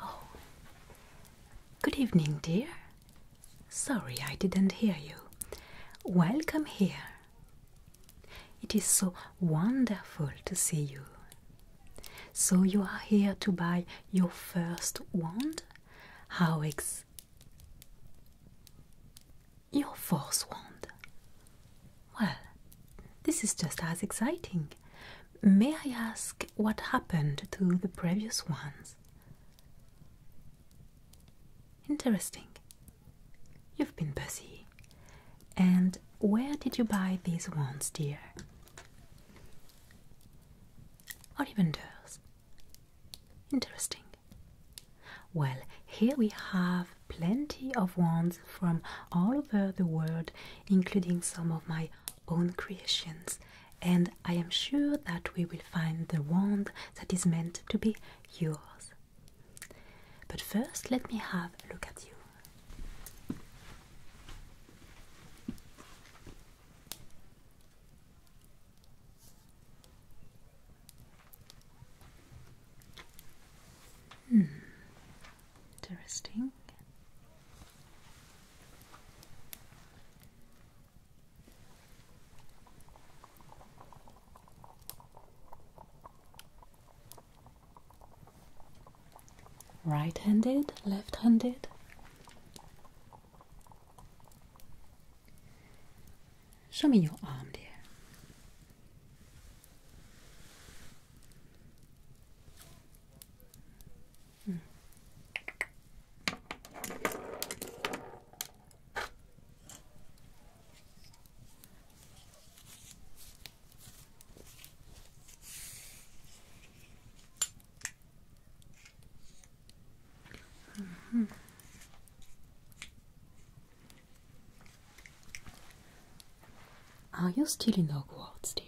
Oh, good evening, dear. Sorry I didn't hear you. Welcome here. It is so wonderful to see you. So, you are here to buy your first wand? Howex. Your fourth wand. Well, this is just as exciting. May I ask what happened to the previous ones? Interesting. You've been busy. And where did you buy these ones, dear? Ollivanders. Interesting. Well, here we have plenty of ones from all over the world, including some of my own creations, and I am sure that we will find the wand that is meant to be yours. But first, let me have a look at you. Hmm. Interesting. Right handed, left handed. Show me your arm, dear. Mm. -hmm. Are you still in Hogwarts, dear?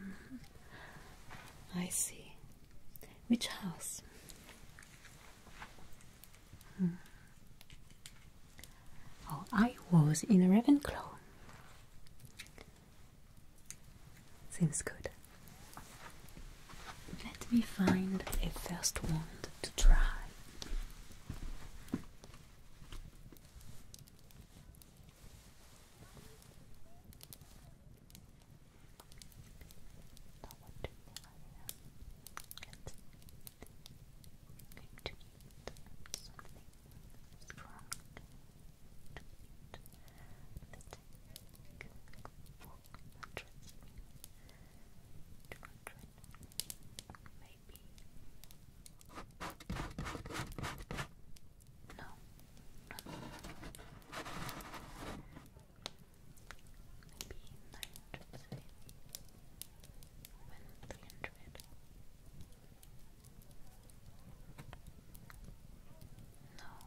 Mm-hmm. I see. Which house? Hmm. Oh, I was in Ravenclaw. Seems good. Let me find a first one to try to eat something strong to eat that can fork and trust me Maybe. No. Maybe 900 when 300. No.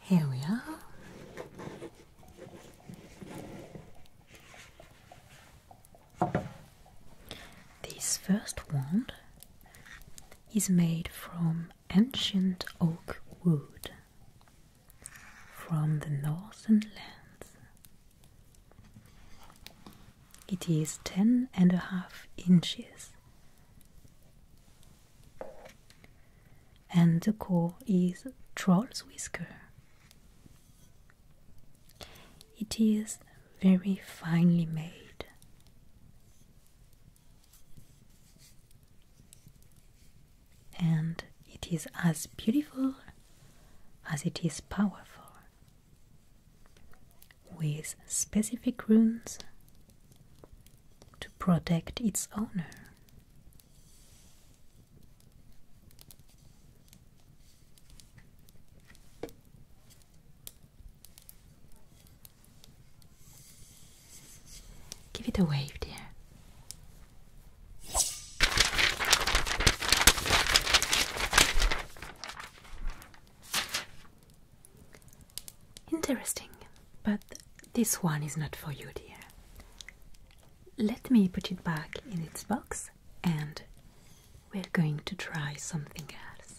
Here we are. This first wand is made from ancient oak wood from the northern lands. It is ten and a half inches, and the core is troll's whisker. It is very finely made. And it is as beautiful as it is powerful, with specific runes to protect its owner. Give it a wave, dear. Interesting, but this one is not for you, dear. Let me put it back in its box and we're going to try something else.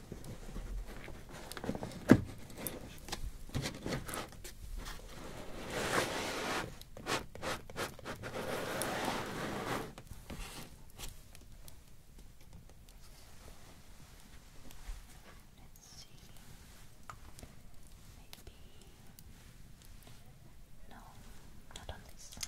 Maybe no, not on this side.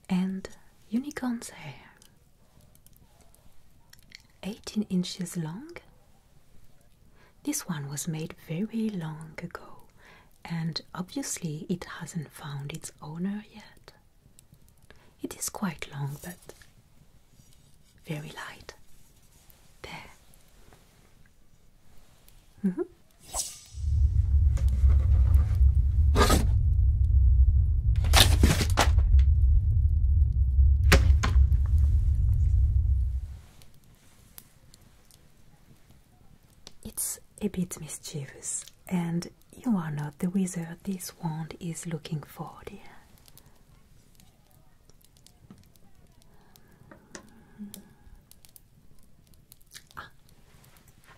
and unicorn's hair. 18 inches long. This one was made very long ago, and obviously it hasn't found its owner yet. It is quite long, but very light. There. Mm-hmm. It's a bit mischievous, and you are not the wizard this wand is looking for, dear.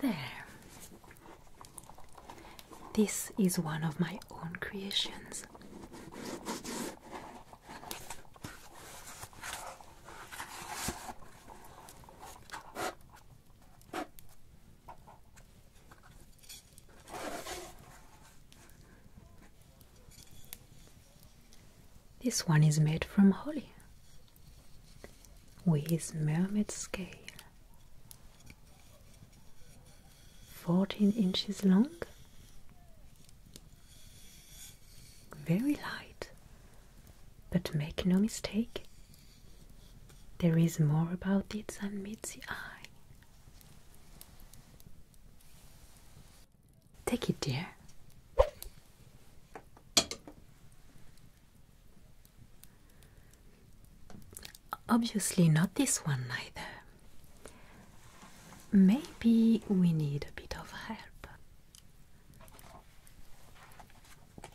There. This is one of my own creations. This one is made from holly with mermaid scale, 14 inches long, very light, but make no mistake, there is more about it than meets the eye. Take it, dear. Obviously, not this one either. Maybe we need a bit of help.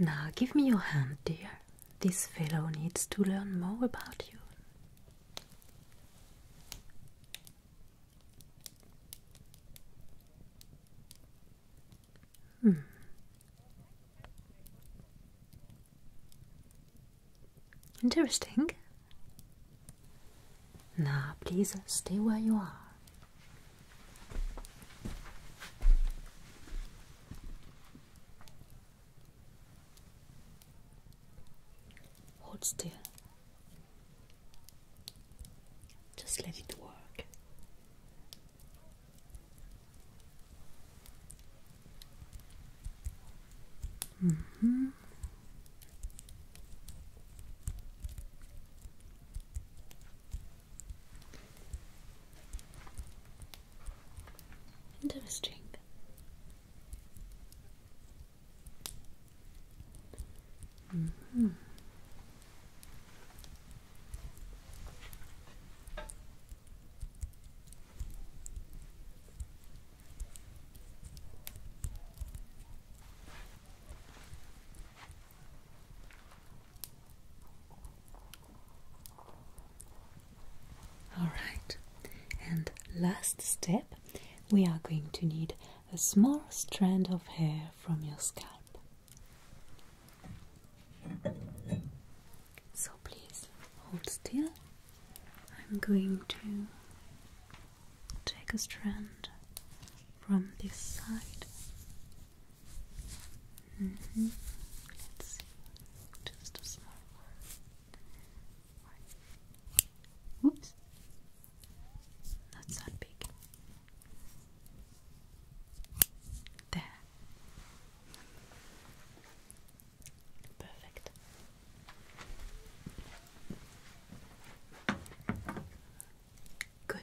Now give me your hand, dear. This fellow needs to learn more about you. Hmm. Interesting. Now, please stay where you are. Hold still. Just let it work. Mm hmm Interesting. Mm-hmm. All right, and last step we are going to need a small strand of hair from your scalp. So please hold still. I'm going to take a strand from this side Mm -hmm. Let's see. Just a small one. Oops. That's not big. There. Perfect. Good.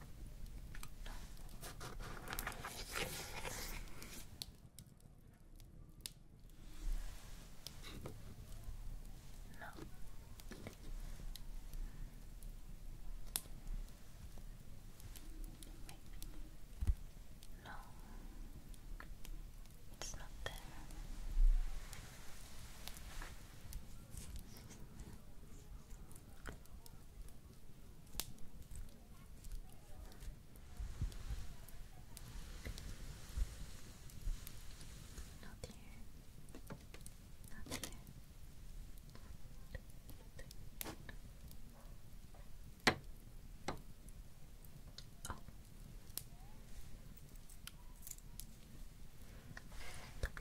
No. No. It's not there. Not here. Not here. Oh.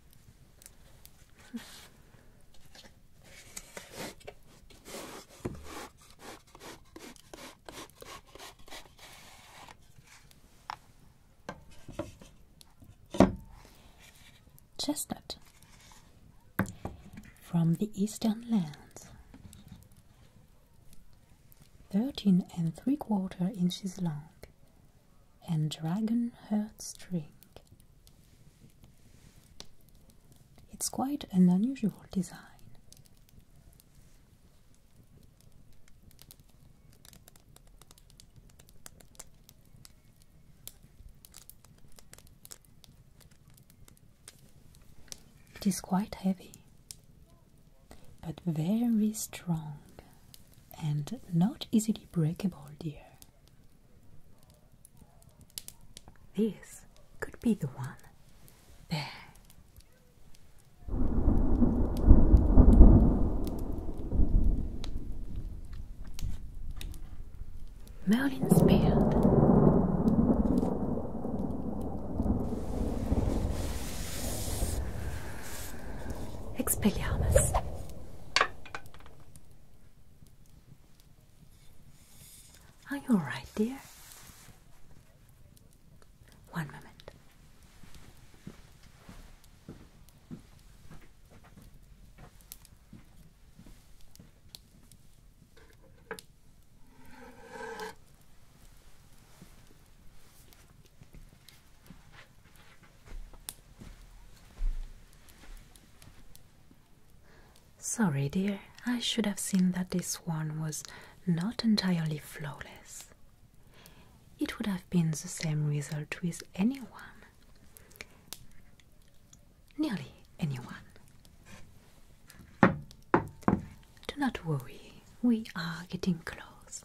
Chestnut from the eastern lands, thirteen and three quarter inches long, and dragon heart string. It's quite an unusual design. It is quite heavy, but very strong and not easily breakable, dear. This could be the one. There. Merlin's beard. Expelliarmus. Are you alright, dear? One moment. Sorry, dear, I should have seen that this one was not entirely flawless. It would have been the same result with anyone. Nearly anyone. Do not worry, we are getting close.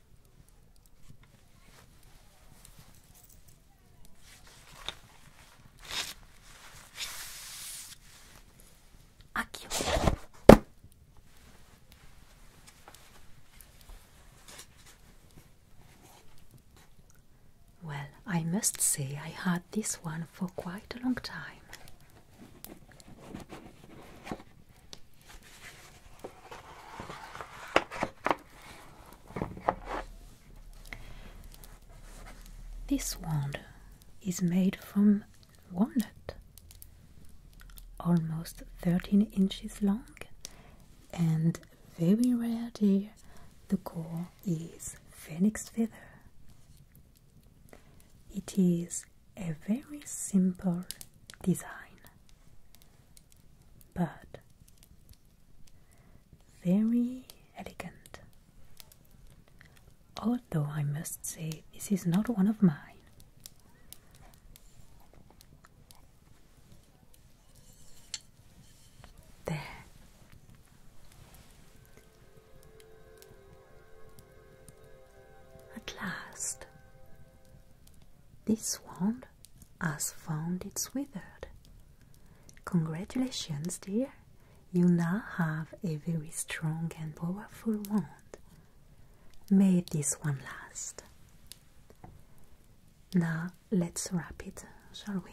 Well, I must say I had this one for quite a long time. This wand is made from walnut, almost 13 inches long, and very rarely the core is phoenix feather. It is a very simple design but very elegant. Although I must say, this is not one of mine. There. At last, this wand has found its wither. Congratulations, dear! You now have a very strong and powerful wand. May this one last. Now let's wrap it, shall we?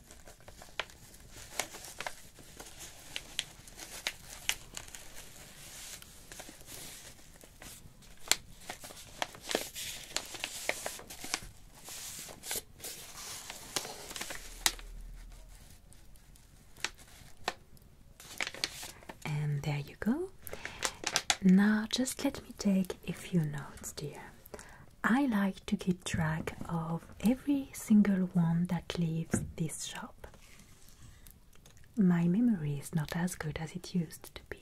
And there you go. Now just let me take a few notes, dear. I like to keep track of every single one that leaves this shop. My memory is not as good as it used to be.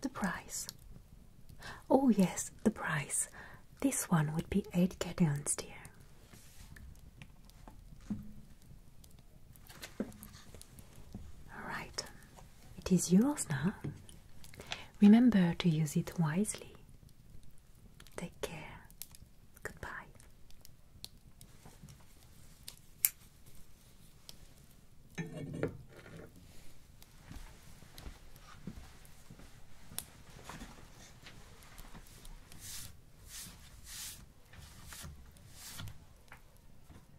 The price. Oh, yes, the price. This one would be 8 cations, dear. Alright, it is yours now. Remember to use it wisely. Take care. Goodbye.